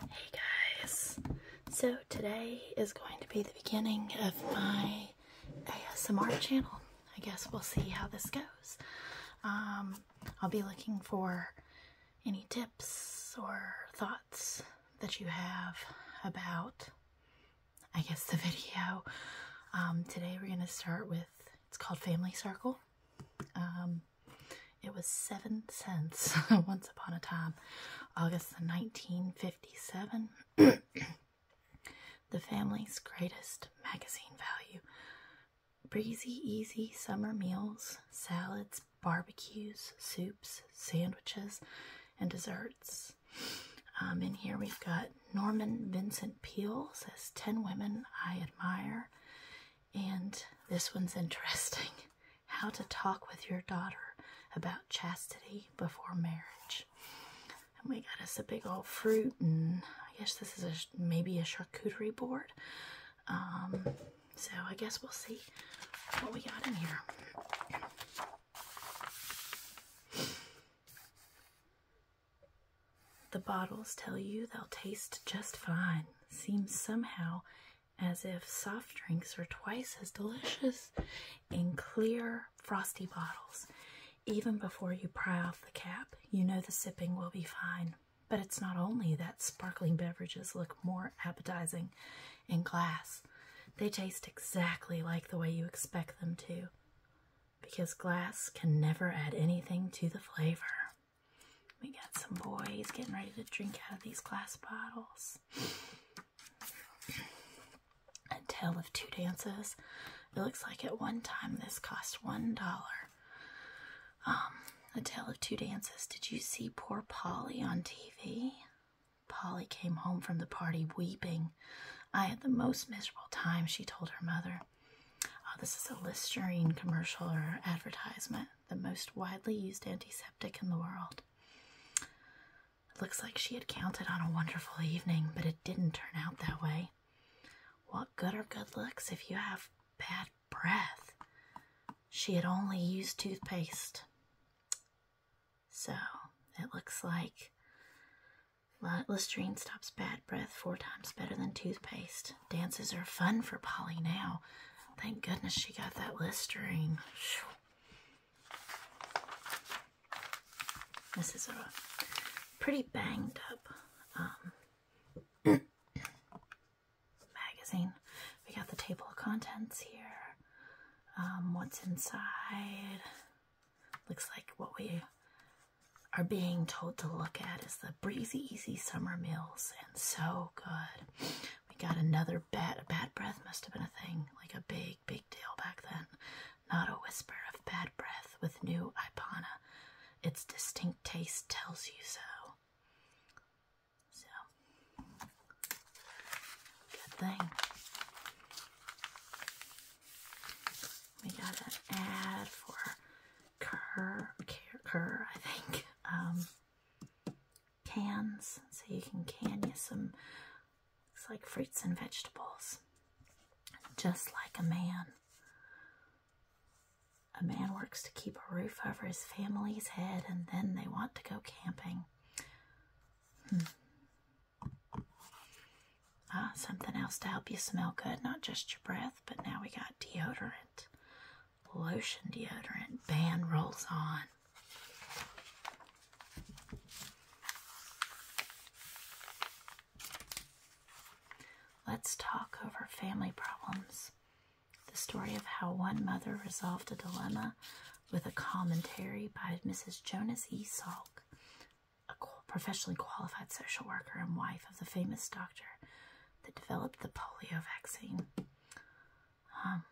Hey guys! So today is going to be the beginning of my ASMR channel. I guess we'll see how this goes. Um, I'll be looking for any tips or thoughts that you have about, I guess, the video. Um, today we're going to start with, it's called Family Circle. Um, it was seven cents once upon a time, August 1957. the family's greatest magazine value. Breezy, easy summer meals, salads, barbecues, soups, sandwiches, and desserts. Um, in here we've got Norman Vincent Peale says 10 women I admire. And this one's interesting How to Talk with Your Daughter About Chastity Before Marriage. And we got us a big old fruit, and I guess this is a, maybe a charcuterie board. Um, so I guess we'll see what we got in here. The bottles tell you they'll taste just fine. Seems somehow as if soft drinks are twice as delicious in clear frosty bottles. Even before you pry off the cap, you know the sipping will be fine. But it's not only that sparkling beverages look more appetizing in glass, they taste exactly like the way you expect them to. Because glass can never add anything to the flavor. We got some boys getting ready to drink out of these glass bottles. A tale of two dances. It looks like at one time this cost one dollar. Um, a tale of two dances. Did you see poor Polly on TV? Polly came home from the party weeping. I had the most miserable time, she told her mother. Oh, this is a Listerine commercial or advertisement the most widely used antiseptic in the world. It looks like she had counted on a wonderful evening, but it didn't turn out that way. What good are good looks if you have bad breath? She had only used toothpaste. So it looks like Listerine stops bad breath four times better than toothpaste. Dances are fun for Polly now. Thank goodness she got that Listerine. This is a pretty banged up um, magazine. We got the table of contents here. Um, what's inside? Looks like what we are being told to look at is the breezy, easy summer meals, and so good. We got another bat. Bad breath must have been a thing, like a big, big deal back then. Not a whisper of bad breath with new Ipana. Its distinct taste tells you so. So, good thing. We got an ad for Kerr, Kerr, I think. Um, cans so you can can you some looks like fruits and vegetables just like a man a man works to keep a roof over his family's head and then they want to go camping hmm. ah something else to help you smell good not just your breath but now we got deodorant lotion deodorant band rolls on. Let's talk over family problems. The story of how one mother resolved a dilemma with a commentary by Mrs. Jonas E. Salk, a professionally qualified social worker and wife of the famous doctor that developed the polio vaccine. Um,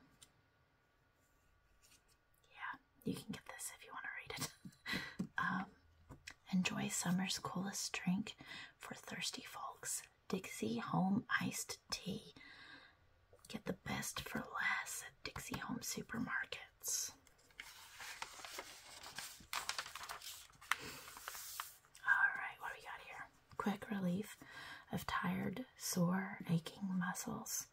yeah, you can get this if you want to read it. Um, enjoy summer's coolest drink for thirsty folks. Dixie Home Iced Tea. Get the best for less at Dixie Home Supermarkets. All right, what we got here? quick relief of tired, sore, aching muscles.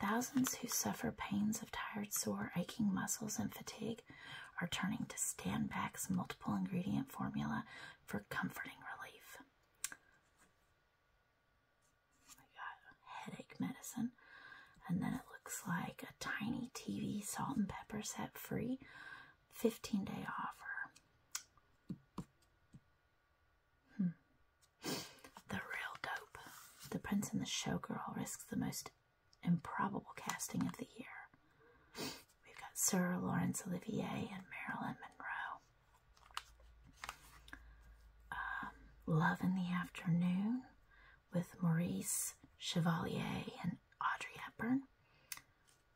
Thousands who suffer pains of tired, sore, aching muscles and fatigue are turning to Stand Back's multiple ingredient formula for comforting relief. We got headache medicine, and then it looks like a tiny TV salt and pepper set free 15 day offer. Hmm. The real dope. The Prince and the Showgirl risks the most improbable casting of the year. We've got Sir Laurence Olivier and Marilyn Monroe. Um, Love in the Afternoon with Maurice Chevalier and Audrey Hepburn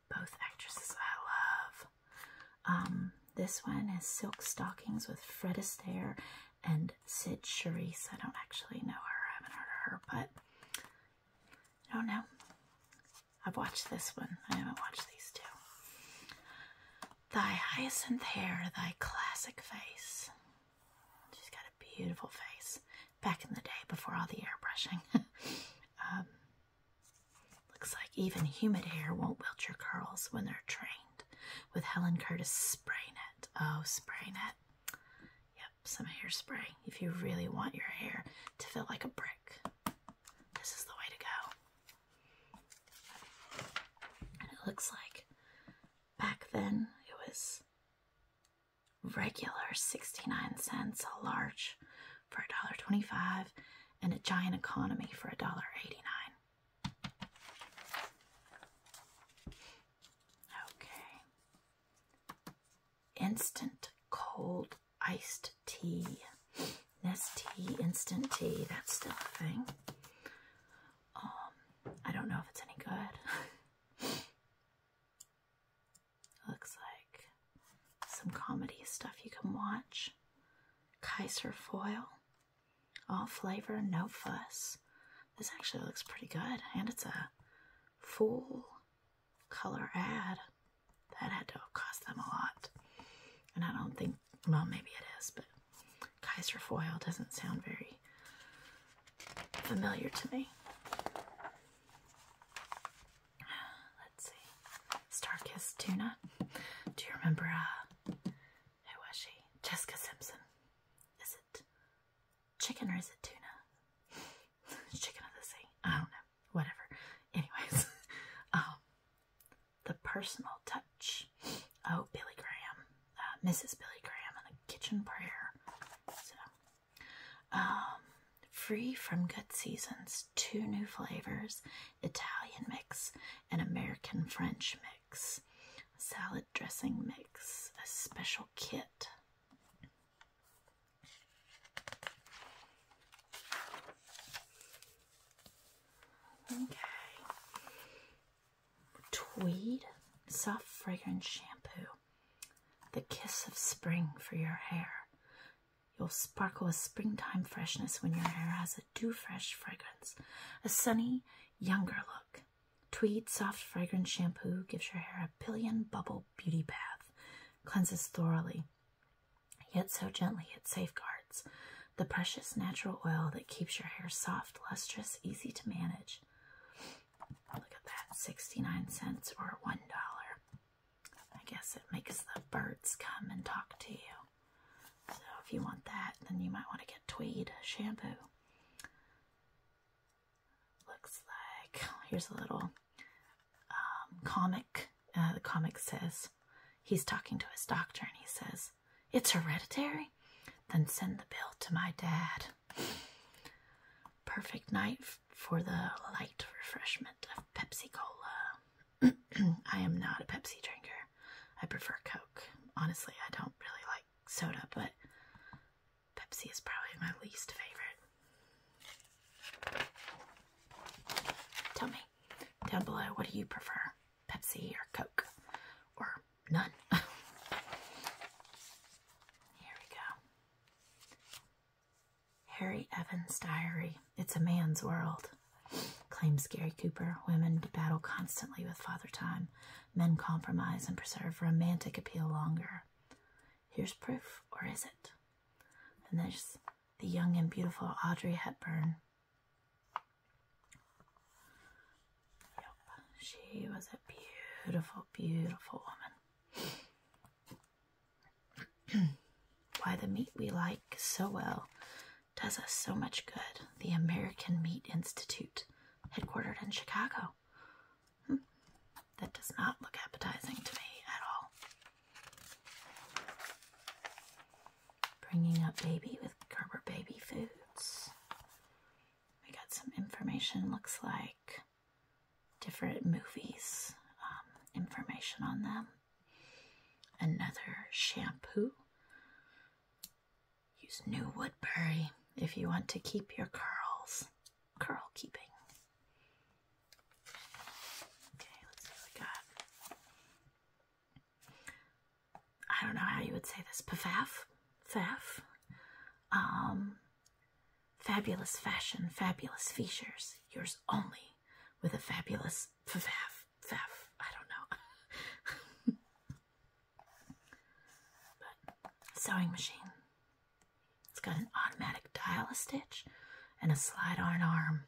both actresses I love. Um, this one is Silk Stockings with Fred Astaire and Sid Charisse. I don't actually know her. I haven't heard of her, but I don't know. I've watched this one. I haven't watched these two. Thy hyacinth hair, thy classic face. She's got a beautiful face. Back in the day, before all the airbrushing. Um, Looks like even humid hair won't wilt your curls when they're trained. With Helen Curtis spray it. Oh, spray it. Yep, some hairspray if you really want your hair to feel like a brick. This is the way to go. And it looks like back then it was regular 69 cents a large Church for $1.25 and a Giant Economy for $1.89. Okay. Instant cold iced tea. Nest instant tea. That's still a thing. Um, I don't know if it's any good. Looks like some comedy stuff you can watch. Kaiser foil. All flavor, no fuss. This actually looks pretty good, and it's a full color ad. That had to cost them a lot. And I don't think, well, maybe it is, but Kaiser foil doesn't sound very familiar to me. Let's see. Starkist Tuna. Do you remember, who uh, was she? Jessica Simpson. Is it chicken or is it tuna? chicken of the sea. I don't know. Whatever. Anyways, um, the personal touch. Oh, Billy Graham. Uh, Mrs. Billy Graham and the kitchen prayer. So, um, Free from Good Seasons, two new flavors Italian mix and American French mix, salad dressing mix, a special kit. Okay. Tweed soft fragrance shampoo. The kiss of spring for your hair. You'll sparkle with springtime freshness when your hair has a dew fresh fragrance, a sunny, younger look. Tweed soft fragrance shampoo gives your hair a billion bubble beauty bath, cleanses thoroughly, yet so gently it safeguards the precious natural oil that keeps your hair soft, lustrous, easy to manage. Look at that, 69 cents or $1. I guess it makes the birds come and talk to you. So if you want that, then you might want to get Tweed shampoo. Looks like here's a little um, comic. Uh, the comic says he's talking to his doctor and he says, It's hereditary? Then send the bill to my dad. Perfect night for the light refreshment of Pepsi Cola. I am not a Pepsi drinker. I prefer Coke. Honestly, I don't really like soda, but Pepsi is probably my least favorite. Tell me down below what do you prefer? Pepsi or Coke? Or none? Here we go. Harry Evans' diary. It's a man's world, claims Gary Cooper. Women battle constantly with Father Time. Men compromise and preserve romantic appeal longer. Here's proof, or is it? And there's the young and beautiful Audrey Hepburn. Yep, she was a beautiful, beautiful woman. Why the meat we like so well does us so much good. The American Meat Institute, headquartered in Chicago. Hmm. That does not look appetizing to me at all. Bringing up baby with Gerber Baby Foods. We got some information, looks like different movies, um, information on them. Another shampoo. Use New Woodbury if you want to keep your curls. Curl keeping. Okay, let's see what we got. I don't know how you would say this. Pfaff? Faff? Um, fabulous fashion, fabulous features. Yours only with a fabulous faff faff. I don't know. sewing machine. It's got an automatic dial a stitch and a slide on arm.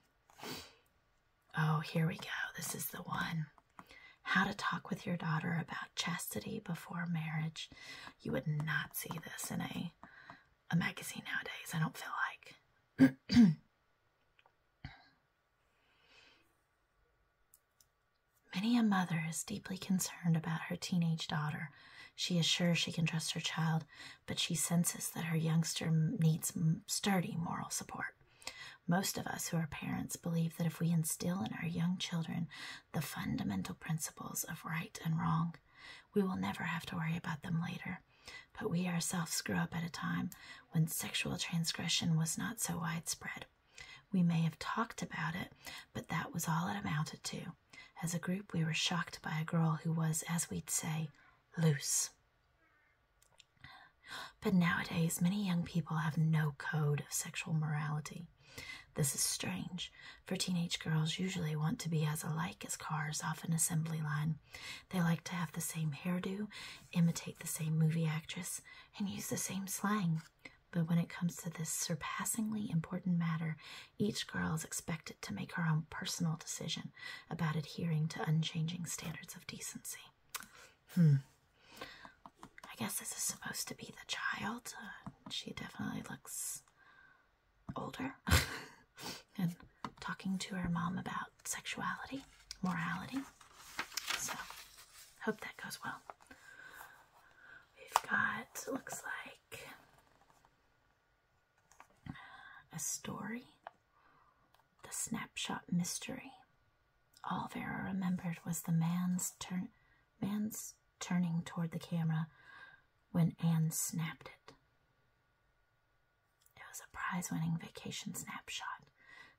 Oh, here we go. This is the one. How to talk with your daughter about chastity before marriage. You would not see this in a a magazine nowadays. I don't feel like. Many a mother is deeply concerned about her teenage daughter. She is sure she can trust her child, but she senses that her youngster needs sturdy moral support. Most of us who are parents believe that if we instill in our young children the fundamental principles of right and wrong, we will never have to worry about them later but we ourselves grew up at a time when sexual transgression was not so widespread. We may have talked about it, but that was all it amounted to. As a group, we were shocked by a girl who was, as we'd say, loose. But nowadays, many young people have no code of sexual morality. This is strange, for teenage girls usually want to be as alike as cars off an assembly line, they like to have the same hairdo, imitate the same movie actress, and use the same slang. But when it comes to this surpassingly important matter, each girl is expected to make her own personal decision about adhering to unchanging standards of decency. Hmm. I guess this is supposed to be the child. Uh, she definitely looks older and talking to her mom about sexuality, morality. So, hope that goes well. We've got, looks like, a story, the snapshot mystery. All Vera remembered was the man's turn, man's turning toward the camera when Anne snapped it. It was a prize winning vacation snapshot,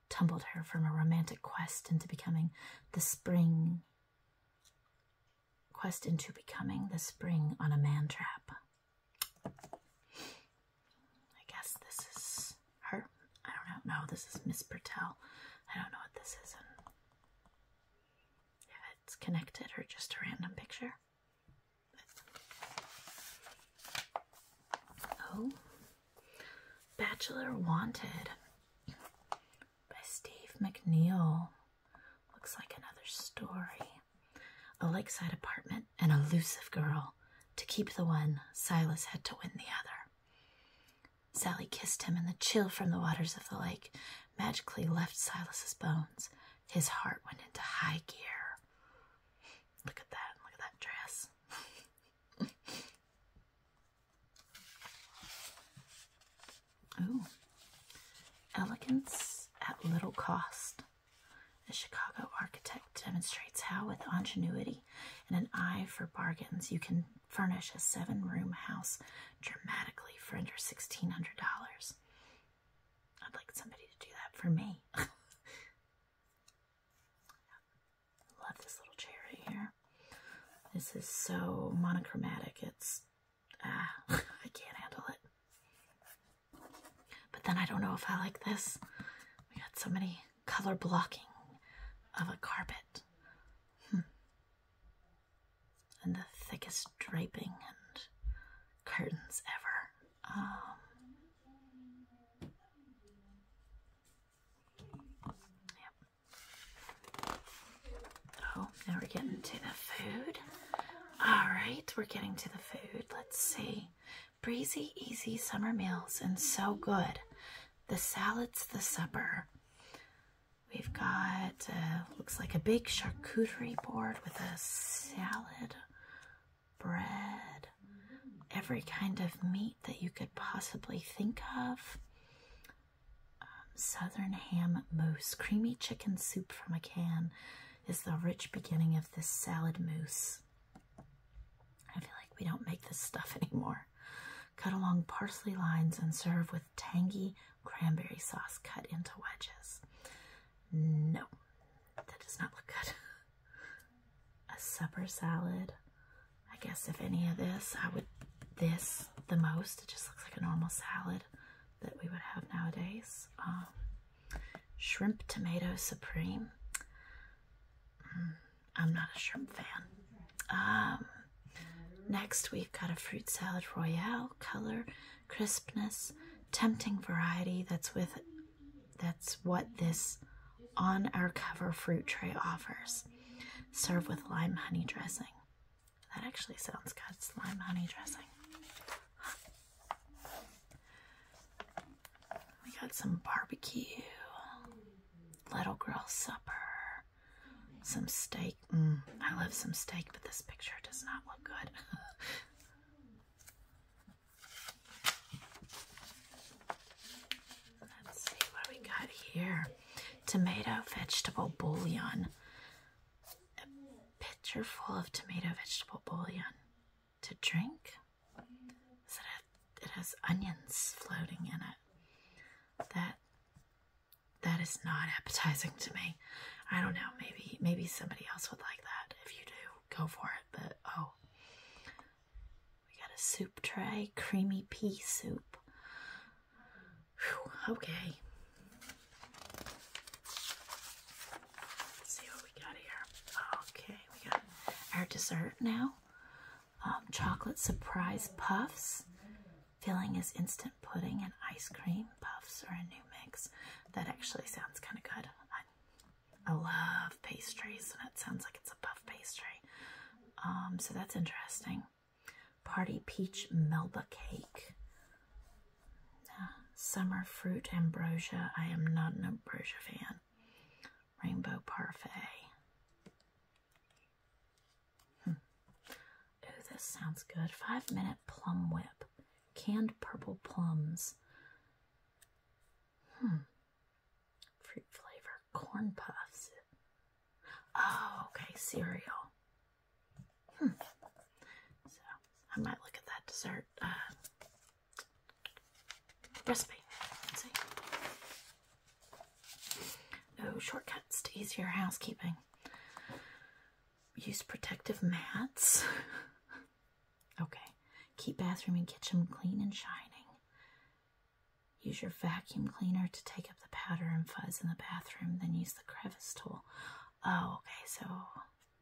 tumbled her from a romantic quest into becoming the spring. Quest into becoming the spring on a man trap. I guess this is her. I don't know. No, this is Miss Bertel. I don't know what this is and it's connected or just a random picture. Oh, Bachelor Wanted by Steve McNeil. Looks like another story. A lakeside apartment, an elusive girl. To keep the one, Silas had to win the other. Sally kissed him, and the chill from the waters of the lake magically left Silas's bones. His heart went into high gear. Look at that, look at that dress. Ooh. Elegance at little cost. A Chicago architect demonstrates how, with ingenuity and an eye for bargains, you can furnish a seven room house dramatically for under $1,600. I'd like somebody to do that for me. Love this little chair right here. This is so monochromatic. It's, ah, I can't handle it. But then I don't know if I like this. We got so many color blocking of a carpet. Hmm. And the thickest draping and curtains ever. Um, oh, now we're getting to the food. All right, we're getting to the food. Let's see. Breezy, easy summer meals, and so good. The salad's the supper. We've got, uh, looks like a big charcuterie board with a salad bread, every kind of meat that you could possibly think of. Um, Southern ham mousse, creamy chicken soup from a can is the rich beginning of this salad mousse. I feel like we don't make this stuff anymore. Cut along parsley lines and serve with tangy cranberry sauce cut into wedges. No, that does not look good. A supper salad. I guess if any of this, I would this the most. It just looks like a normal salad that we would have nowadays. Um, shrimp tomato supreme. Mm, I'm not a shrimp fan. Um, next, we've got a fruit salad royale, color, crispness, tempting variety that's with that's what this on our cover fruit tray offers. Serve with lime honey dressing. That actually sounds good. lime honey dressing. We got some barbecue, little girl supper, some steak. Mm, I love some steak, but this picture does not look good. Let's see what we got here. Tomato vegetable bouillon. A pitcher full of tomato vegetable bouillon to drink. Does it, it has onions floating in it. That that is not appetizing to me. I don't know. Maybe maybe somebody else would like that. If you do, go for it. But oh, we got a soup tray, creamy pea soup. okay. Let's see what we got here. Okay, we got our dessert now. Um, chocolate surprise puffs. Filling is instant pudding and ice cream puffs are a new mix. That actually sounds kind of good. I love pastries, and it sounds like it's a puff pastry. Um, so that's interesting. Party peach melba cake. Ah, summer fruit ambrosia. I am not an ambrosia fan. Rainbow parfait. Hmm. this sounds good. Five minute plum whip. Canned purple plums. Hmm. Fruit flavor corn puffs. Oh, okay, cereal. Hmm. So I might look at that dessert uh, recipe. Let's see. Oh, shortcuts to easier housekeeping. Use protective mats. Okay, keep bathroom and kitchen clean and shining. Use your vacuum cleaner to take up the powder and fuzz in the bathroom, then use the crevice tool. Oh, okay, so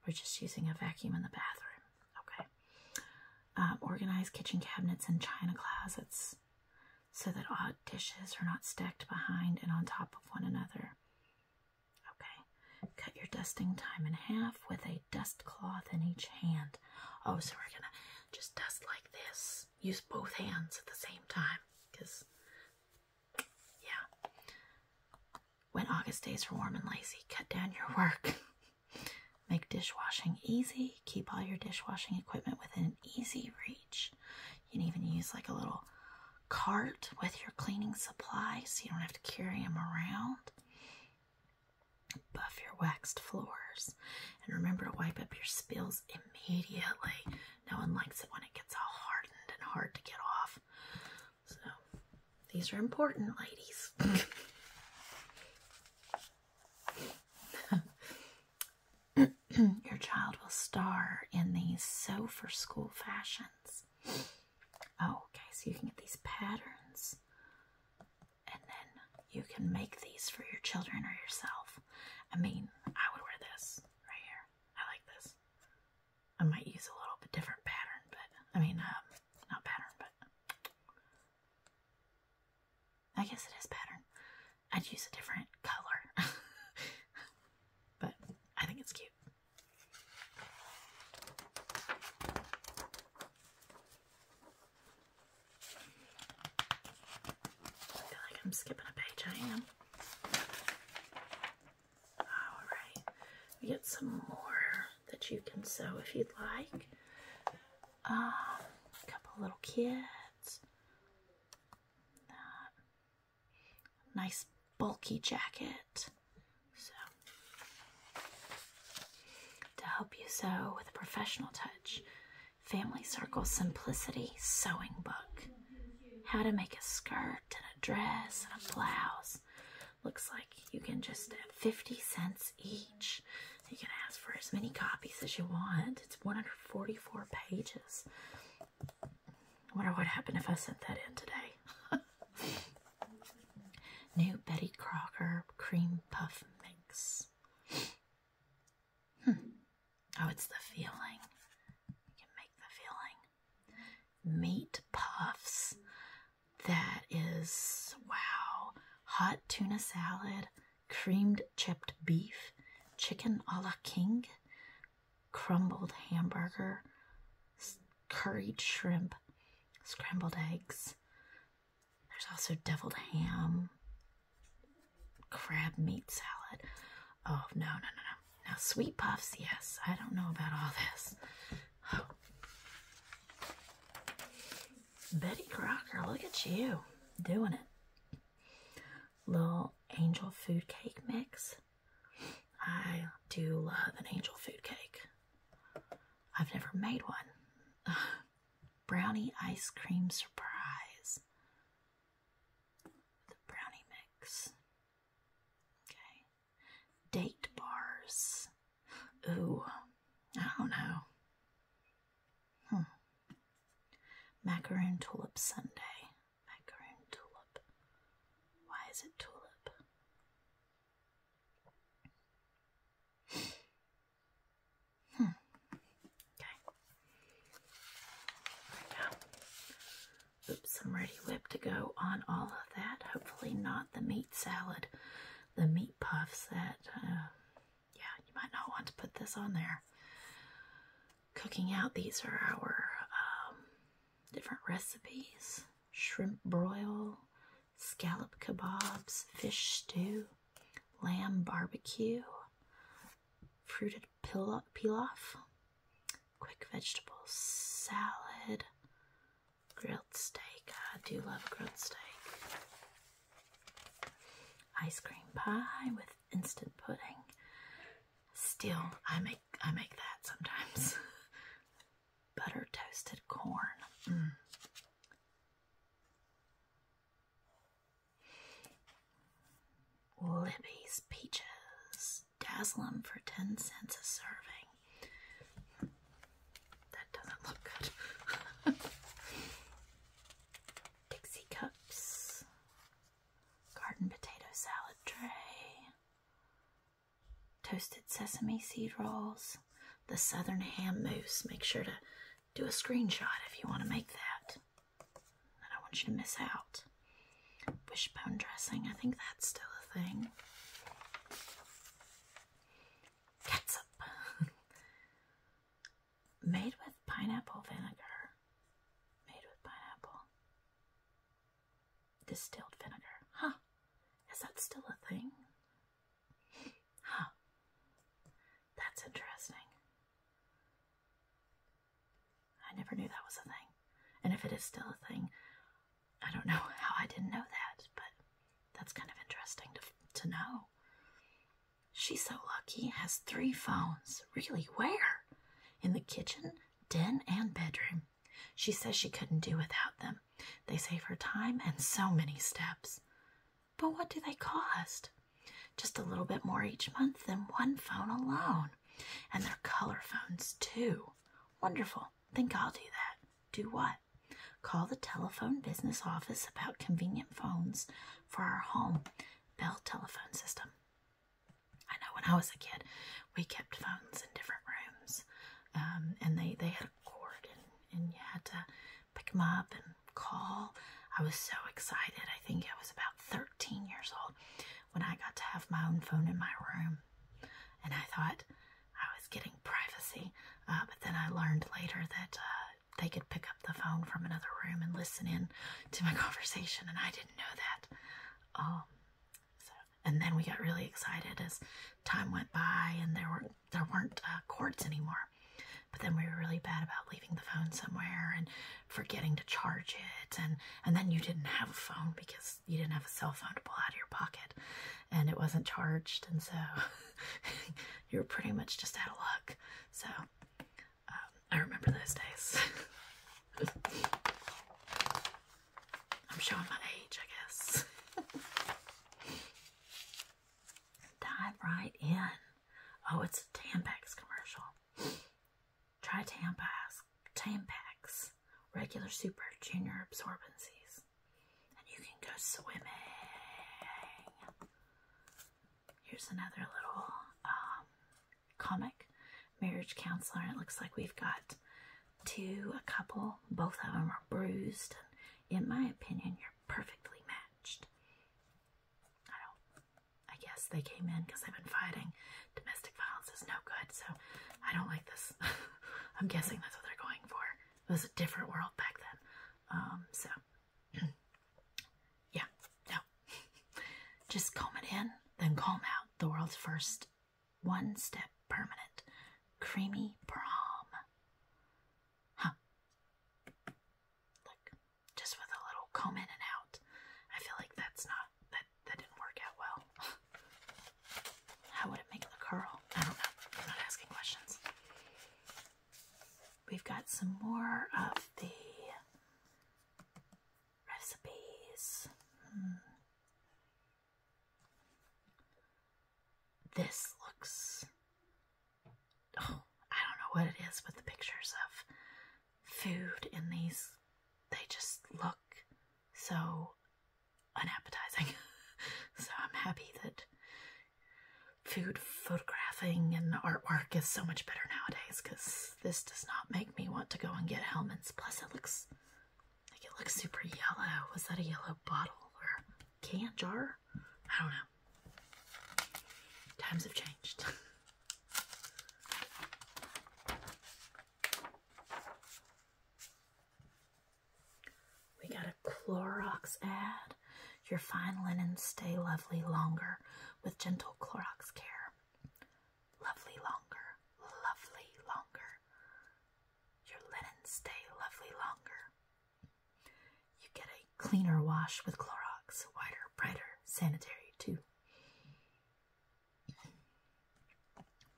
we're just using a vacuum in the bathroom. Okay. Um, organize kitchen cabinets and china closets so that odd dishes are not stacked behind and on top of one another. Okay. Cut your dusting time in half with a dust cloth in each hand. Oh, so we're gonna just dust like this. Use both hands at the same time, because, yeah. When August days are warm and lazy, cut down your work. Make dishwashing easy. Keep all your dishwashing equipment within easy reach. You can even use like a little cart with your cleaning supplies so you don't have to carry them around. Buff your waxed floors and remember to wipe up your spills immediately. No one likes it when it gets all hardened and hard to get off. So, these are important, ladies. your child will star in these so for school fashions. Oh, okay, so you can get these patterns and then you can make these for your children or yourself. I mean, I would wear this right here. I like this. I might use a little bit different pattern, but I mean, um, not pattern, but I guess it is pattern. I'd use a different color, but I think it's cute. I feel like I'm skipping a page, I am. Oh, Alright, we get some more that you can sew if you'd like. Um, a couple little kids. Uh, nice bulky jacket. So, to help you sew with a professional touch, Family Circle Simplicity Sewing Book. How to make a skirt and a dress and a blouse. Looks like you can just 50 cents each. You can ask for as many copies as you want. It's 144 pages. I wonder what happened if I sent that in today. New Betty Crocker cream puff mix. Hmm. Oh, it's the feeling. You can make the feeling. Meat puffs. That is wow. Hot tuna salad, creamed chipped beef, chicken a la king, crumbled hamburger, curried shrimp, scrambled eggs. There's also deviled ham, crab meat salad. Oh, no, no, no, no. Now, sweet puffs, yes. I don't know about all this. Oh. Betty Crocker, look at you doing it. Little angel food cake mix. I do love an angel food cake. I've never made one. Brownie ice cream surprise. The brownie mix. Okay. Date bars. Ooh, I don't know. Hmm. Macaroon tulip sundae. Macaroon tulip. Why is it tulip? Hmm. Oops, I'm ready whip to go on all of that. Hopefully not the meat salad, the meat puffs that, uh, yeah, you might not want to put this on there. Cooking out, these are our um, different recipes shrimp broil, scallop kebabs, fish stew, lamb barbecue, fruited pilaf, quick vegetable salad, grilled steak. I do love grilled steak. Ice cream pie with instant pudding. Still, I make I make that sometimes. butter toasted corn. Mm. Libby's peaches. Dazzle them for 10 cents a serving. That doesn't look good. Dixie cups. Garden potato salad tray toasted sesame seed rolls, the southern ham mousse. Make sure to do a screenshot if you want to make that. I don't want you to miss out. Wishbone dressing, I think that's still a thing. Catsup. Made with pineapple vinegar. Made with pineapple. Distilled vinegar. Huh. Is that still a thing? Huh. That's interesting. I never knew that was a thing. And if it is still a thing, I don't know how I didn't know that, but that's kind of interesting to, to know. She's so lucky, has three phones. Really, where? In the kitchen, den, and bedroom. She says she couldn't do without them. They save her time and so many steps. But what do they cost? Just a little bit more each month than one phone alone. And they're color phones, too. Wonderful. Think I'll do that. Do what? Call the telephone business office about convenient phones for our home Bell telephone system. I know when I was a kid, we kept phones in different rooms, um, and they, they had a cord and, and you had to pick them up and call. I was so excited. I think I was about 13 years old when I got to have my own phone in my room. And I thought I was getting privacy. Uh, but then I learned later that uh, they could pick up the phone from another room and listen in to my conversation. And I didn't know that. Um, and then we got really excited as time went by, and there were there weren't uh, cords anymore. But then we were really bad about leaving the phone somewhere and forgetting to charge it, and and then you didn't have a phone because you didn't have a cell phone to pull out of your pocket, and it wasn't charged, and so you were pretty much just out of luck. So um, I remember those days. I'm showing my age, I guess. Dive right in. Oh, it's a Tampax commercial. Try Tampax, Tampax, regular super junior absorbencies, and you can go swimming. Here's another little um, comic, marriage counselor. It looks like we've got to a couple. Both of them are bruised. And in my opinion, you're perfectly matched. I don't, I guess they came in because they've been fighting. Domestic violence is no good, so I don't like this. I'm guessing that's what they're going for. It was a different world back then. Um, so, yeah, no. Just calm it in, then calm out. The world's first one step permanent. Creamy prom. Huh. Look, just with a little comb in and out. I feel like that's not, that, that didn't work out well. How would it make the curl? I don't know. I'm not asking questions. We've got some more of the recipes. Hmm. This looks. Oh, I don't know what it is with the pictures of food in these. They just look so unappetizing. so I'm happy that food photographing and artwork is so much better nowadays because this does not make me want to go and get Hellman's. Plus, it looks like it looks super yellow. Was that a yellow bottle or can jar? I don't know. Times have changed. we got a Clorox ad. Your fine linens stay lovely longer with gentle Clorox care. Lovely longer, lovely longer. Your linens stay lovely longer. You get a cleaner wash with Clorox, whiter, brighter, sanitary too.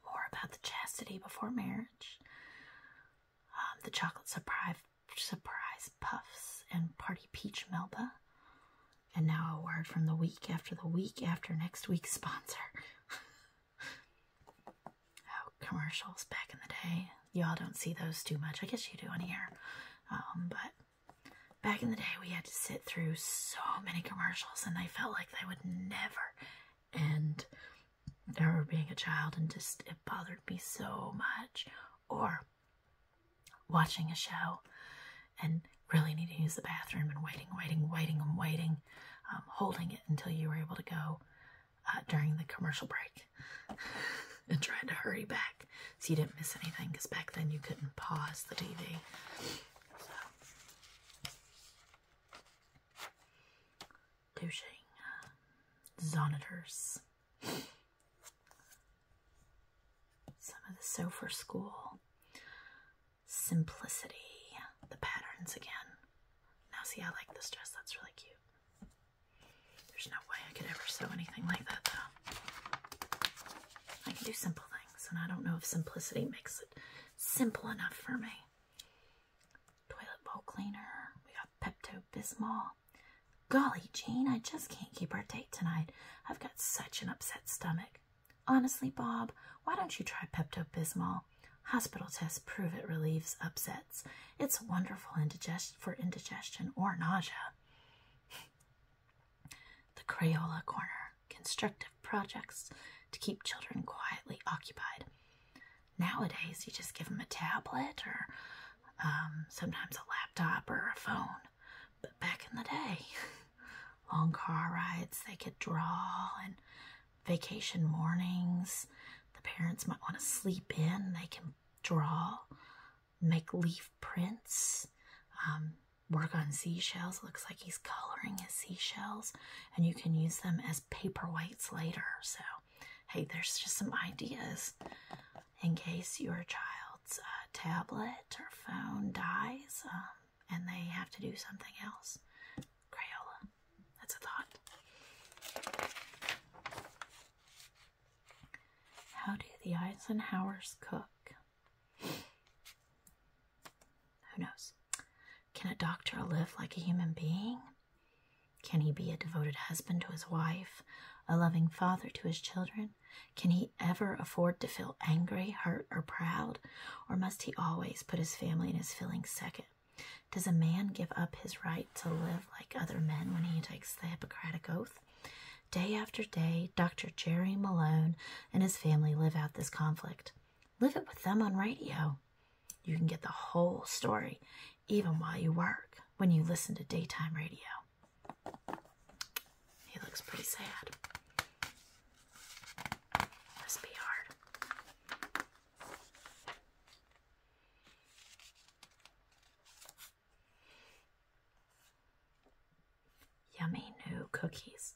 More about the chastity before marriage, um, the chocolate surprise, surprise puffs, and party peach melba. And now a word from the week after the week after next week's sponsor. oh, commercials back in the day. Y'all don't see those too much. I guess you do on here. Um, but back in the day, we had to sit through so many commercials, and they felt like they would never end. I remember being a child, and just it bothered me so much. Or watching a show and really needing to use the bathroom and waiting, waiting, waiting, and waiting, um, holding it until you were able to go uh, during the commercial break and tried to hurry back so you didn't miss anything because back then you couldn't pause the TV. Douching. Uh, zonitors. Some of the So School. Simplicity. The patterns again. Now see, I like this dress. That's really cute. There's no way I could ever sew anything like that, though. I can do simple things, and I don't know if simplicity makes it simple enough for me. Toilet bowl cleaner. We got Pepto Bismol. Golly, Jean, I just can't keep our date tonight. I've got such an upset stomach. Honestly, Bob, why don't you try Pepto Bismol? Hospital tests prove it relieves upsets. It's wonderful for indigestion or nausea. the Crayola Corner Constructive projects to keep children quietly occupied. Nowadays, you just give them a tablet or um, sometimes a laptop or a phone. But back in the day, long car rides, they could draw and vacation mornings. The parents might want to sleep in. They can draw, make leaf prints, um, work on seashells. looks like he's coloring his seashells, and you can use them as paperweights later. So, hey, there's just some ideas in case your child's uh, tablet or phone dies um, and they have to do something else. Crayola. That's a thought. How do the Eisenhowers cook? Who knows? Can a doctor live like a human being? Can he be a devoted husband to his wife, a loving father to his children? Can he ever afford to feel angry, hurt, or proud? Or must he always put his family and his feelings second? Does a man give up his right to live like other men when he takes the Hippocratic Oath? Day after day, Dr. Jerry Malone and his family live out this conflict. Live it with them on radio. You can get the whole story, even while you work, when you listen to daytime radio. He looks pretty sad. Must be hard. Yummy new cookies.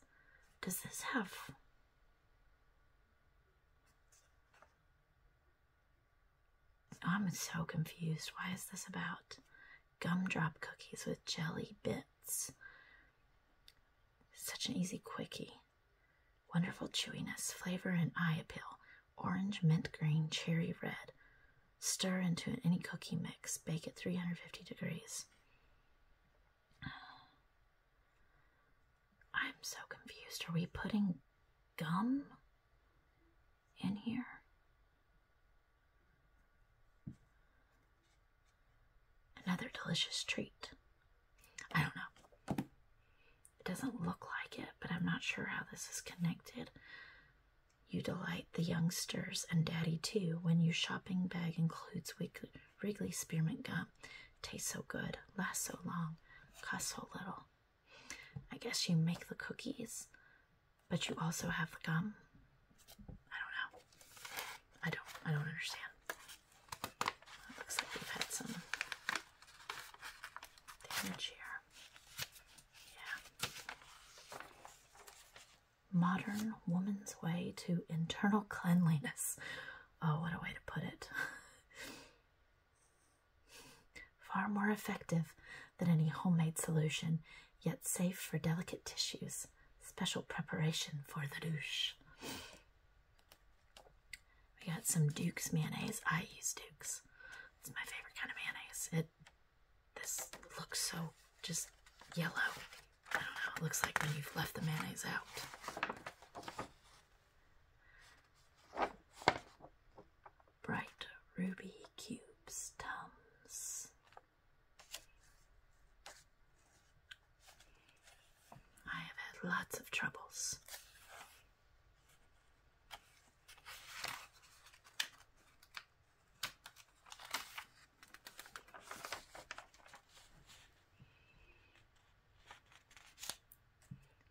Does this have I'm so confused. Why is this about gumdrop cookies with jelly bits? Such an easy quickie. Wonderful chewiness, flavor, and eye appeal. Orange, mint green, cherry red. Stir into any cookie mix. Bake at 350 degrees. I'm so confused. Are we putting gum in here? Another delicious treat. I don't know. It doesn't look like it, but I'm not sure how this is connected. You delight the youngsters and daddy too when your shopping bag includes Wrigley spearmint gum. Tastes so good, lasts so long, costs so little. I guess you make the cookies, but you also have the gum. I don't know. I don't I don't understand looks like we've had some damage here. Yeah. Modern woman's way to internal cleanliness. Oh, what a way to put it. Far more effective than any homemade solution, yet safe for delicate tissues. Special preparation for the douche. We got some Duke's mayonnaise. I use Duke's. It's my favorite kind of mayonnaise. It this looks so just yellow. I don't know. It looks like when you've left the mayonnaise out. Bright ruby cubes, tums. I have had lots of troubles.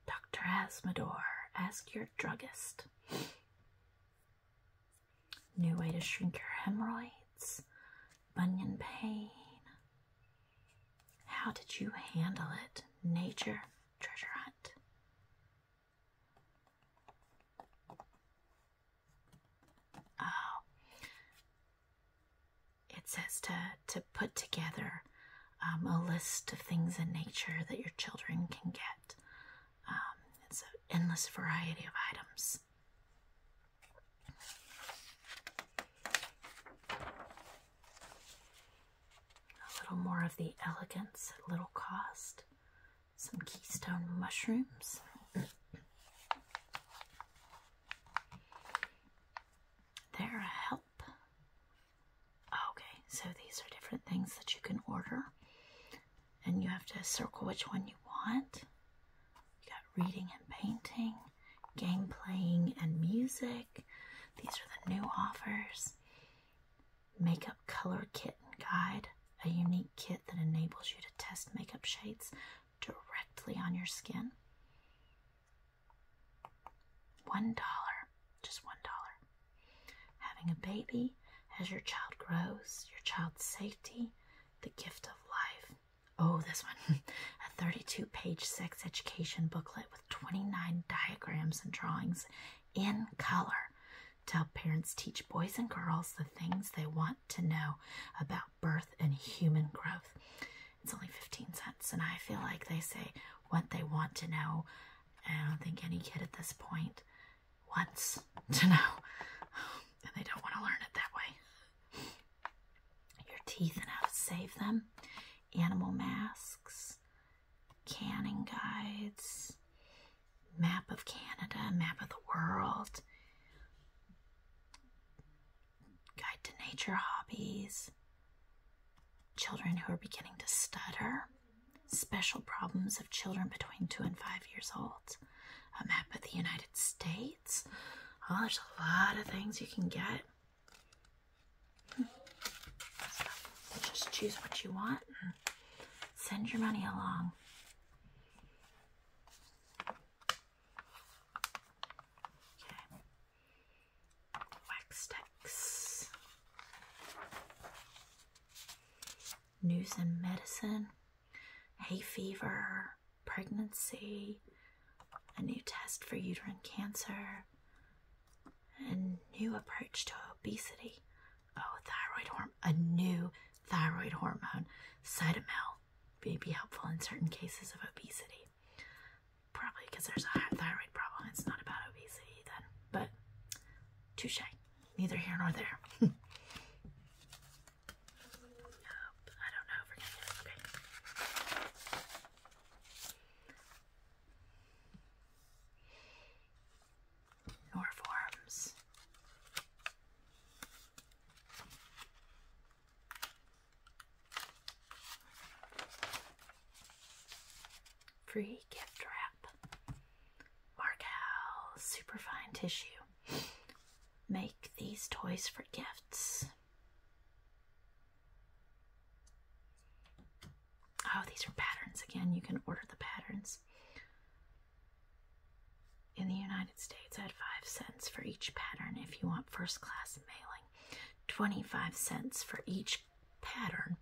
Dr. Asmodor, ask your druggist. New way to shrink your hemorrhoids, bunion pain, how did you handle it? Nature treasure hunt. Oh. It says to, to put together um, a list of things in nature that your children can get. Um, it's an endless variety of items. A little more of the elegance at little cost. Some keystone mushrooms. They're a help. Okay, so these are different things that you can order. And you have to circle which one you want. You got reading and painting game playing, and music. These are the new offers. Makeup Color Kit and Guide, a unique kit that enables you to test makeup shades directly on your skin. One dollar, just one dollar. Having a baby as your child grows, your child's safety, the gift of life. Oh, this one. a 32 page sex education booklet 29 diagrams and drawings in color to help parents teach boys and girls the things they want to know about birth and human growth. It's only 15 cents, and I feel like they say what they want to know. I don't think any kid at this point wants to know, and they don't want to learn it that way your teeth and how to save them, animal masks, canning guides, map of Canada, map of the world, guide to nature hobbies, children who are beginning to stutter, special problems of children between two and five years old, a map of the United States. Oh, there's a lot of things you can get just choose what you want and send your money along. Wax sticks. News and medicine, hay fever, pregnancy, a new test for uterine cancer, a new approach to obesity. Oh, thyroid hormone, a new thyroid hormone, Cytomel, may be helpful in certain cases of obesity. Probably because there's a thyroid problem. It's not about obesity then, but touche. Neither here nor there. oh, I don't know nor forms. Free gift wrap. Markel superfine tissue. Make these toys for gifts. Oh, these are patterns again. You can order the patterns. In the United States, at 5 cents for each pattern if you want first class mailing, 25 cents for each pattern,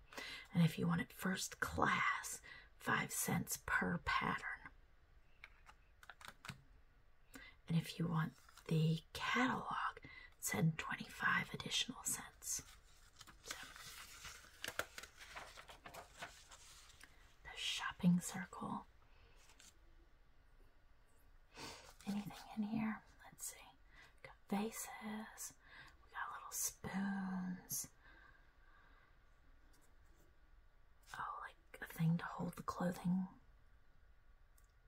and if you want it first class, 5 cents per pattern and if you want the catalog, send 25 additional cents. the shopping circle. Anything in here? Let's see. We got vases. We got little spoons. Oh, like a thing to hold the clothing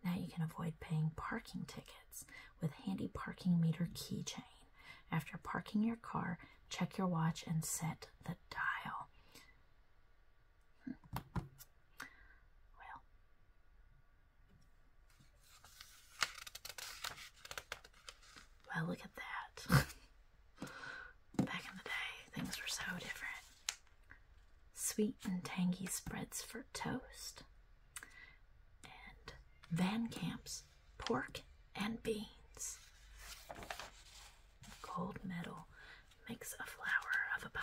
now you can avoid paying parking tickets with handy parking meter keychain. After parking your car, check your watch and set the dial. Well, hmm. well, look at that. Back in the day, things were so different. Sweet and tangy spreads for toast. Van Camp's pork and beans. Gold medal makes a flower of a pie.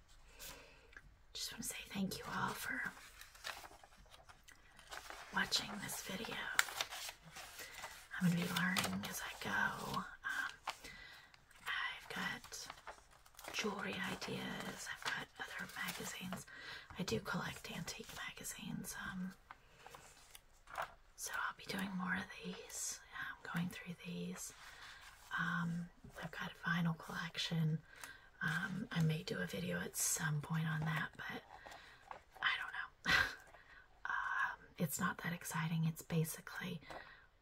Just want to say thank you all for watching this video. I'm going to be learning as I go. Um, I've got jewelry ideas, I've got other magazines. I do collect antique magazines, um, so I'll be doing more of these. going through these. Um, I've got a vinyl collection. Um, I may do a video at some point on that, but I don't know. um, it's not that exciting. It's basically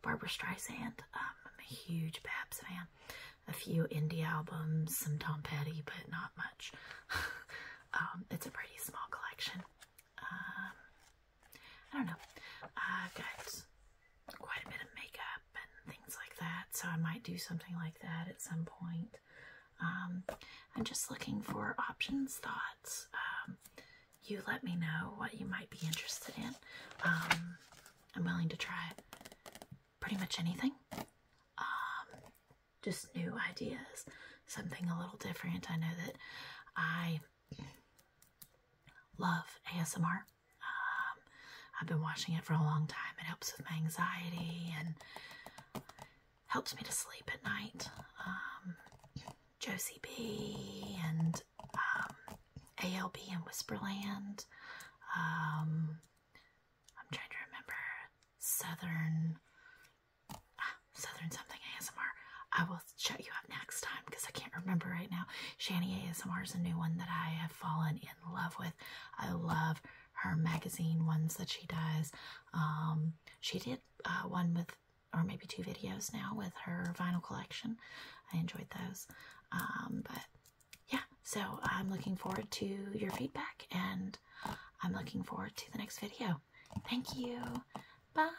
Barbara Streisand. Um, I'm a huge Babs fan. A few indie albums, some Tom Petty, but not much. um, it's a pretty small collection. Um, I don't know. I've quite a bit of makeup and things like that. So I might do something like that at some point. Um, I'm just looking for options, thoughts. Um, you let me know what you might be interested in. Um, I'm willing to try pretty much anything. just new ideas, something a little different. I know that I love ASMR. Um, I've been watching it for a long time. It helps with my anxiety and helps me to sleep at night. Um, Josie B and um, ALB and Whisperland. Um, I'm trying to remember Southern. Ah, Southern something ASMR. I will shut you up next time because I can't remember right now. Shani ASMR is a new one that I have fallen in love with. I love her magazine ones that she does. Um, she did uh, one with, or maybe two videos now with her vinyl collection. I enjoyed those. Um, but yeah, so I'm looking forward to your feedback and I'm looking forward to the next video. Thank you. Bye.